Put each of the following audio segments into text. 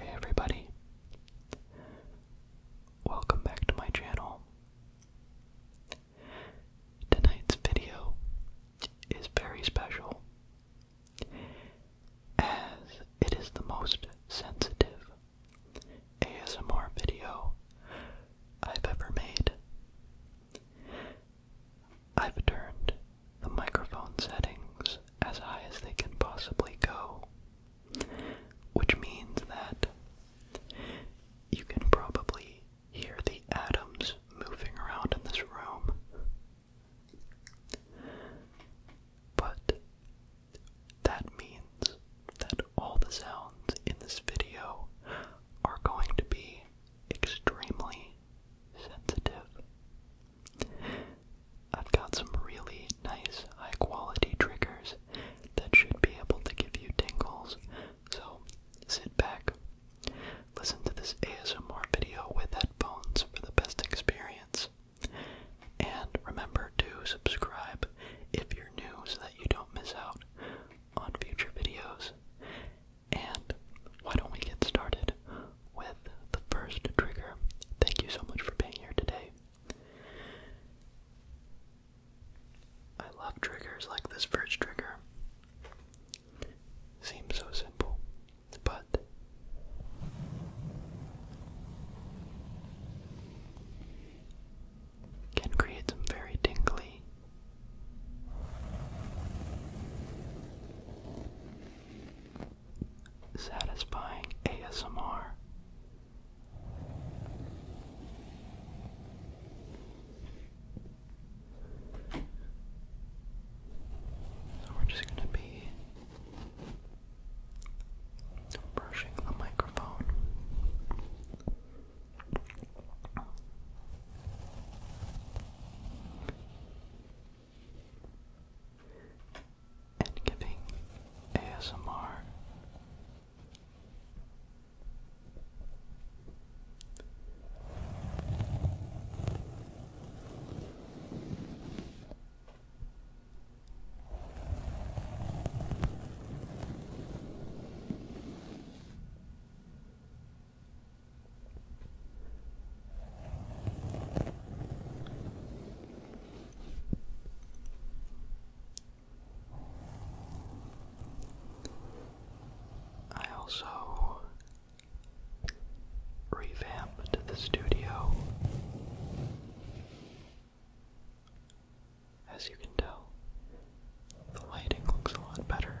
Hey everybody, welcome back to my channel. Tonight's video is very special, as it is the most sensitive ASMR video I've ever made. I've turned the microphone settings as high as they can possibly go, which means that you can probably hear the atoms moving around in this room. But that means that all the sounds in this video are going to be extremely sensitive. I've got some really nice high quality triggers that should be able to give you tingles, so sit back, Listen to this ASMR video with headphones for the best experience. And remember to subscribe if you're new so that you don't miss out on future videos. And why don't we get started with the first trigger? Thank you so much for being here today. I love triggers like this first trigger. Seems so simple, but can create some very tingly satisfying ASMR we're just going to be brushing the microphone. And giving ASMR I also revamped the studio. As you can tell, the lighting looks a lot better.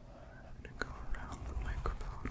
I'm to go around the microphone.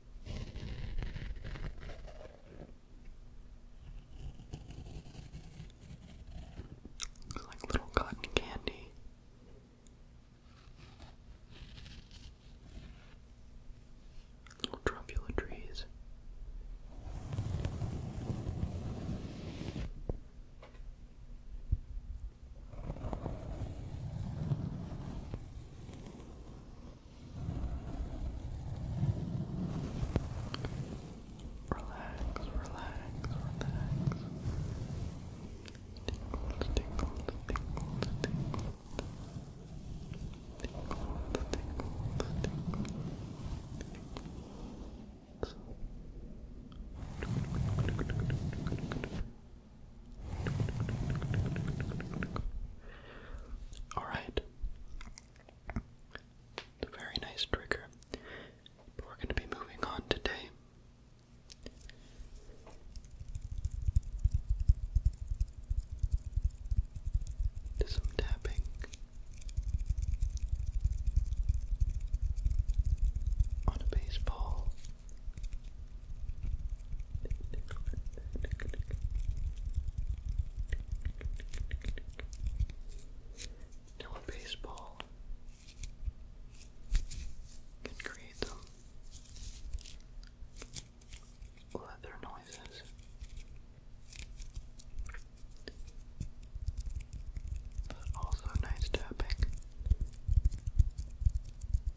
It's like little cotton candy. Little truffula trees. Relax, relax, relax. Tingles, tingles, tingles, tingles. Tingles, tingles, tingles. tingles. Alright. It's a very nice trigger. we're going to be moving on today. To some tapping. On a baseball now a baseball can create them leather noises. But also nice tapping.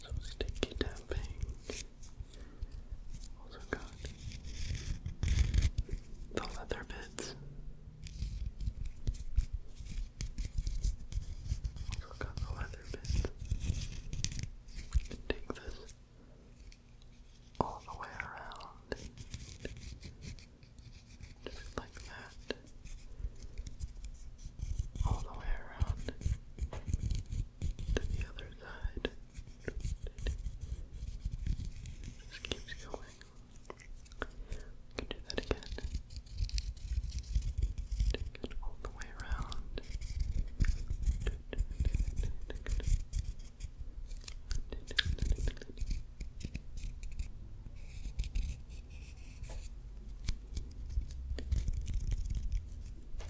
So sticky tapping. Also got the leather bits. Also got the leather bits. can take this all the way around. Just like that. All the way around to the other side. Just keeps going. can do that again. Take it all the way around.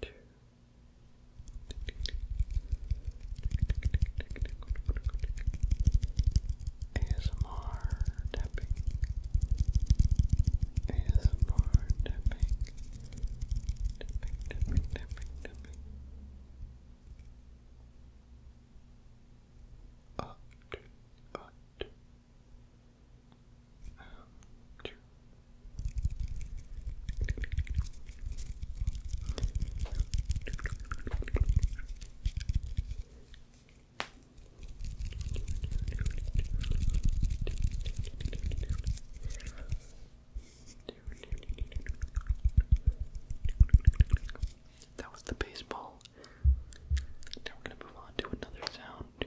two. ASMR tapping. ASMR Tapping, tapping, tapping, tapping. Up, up, that was the baseball. Now we're going to move on to another sound.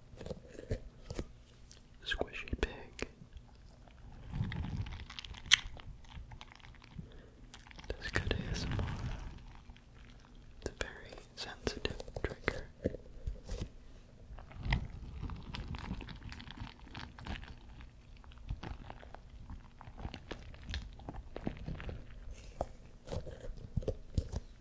Squishy pig. That's good ASMR. It's a very sensitive trigger.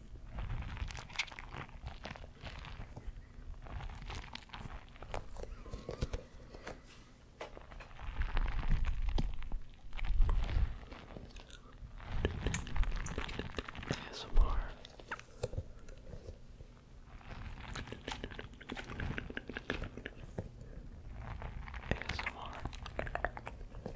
ASMR. ASMR. ASMR. ASMR.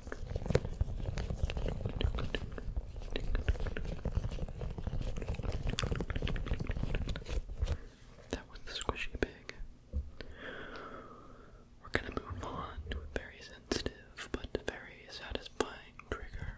That was the squishy pig. We're gonna move on to a very sensitive but very satisfying trigger.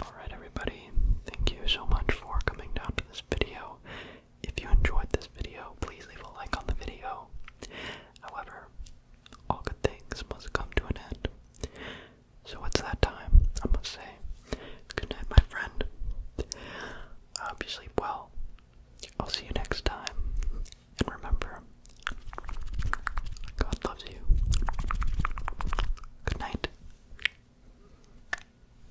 Alright, everybody, thank you so much for coming down to this video. If you enjoyed this video, please leave a like on the video. However, all good things must come to an end. So it's that time, I must say. Good night, my friend. I hope you sleep well. I'll see you next time. And remember, God loves you. Good night.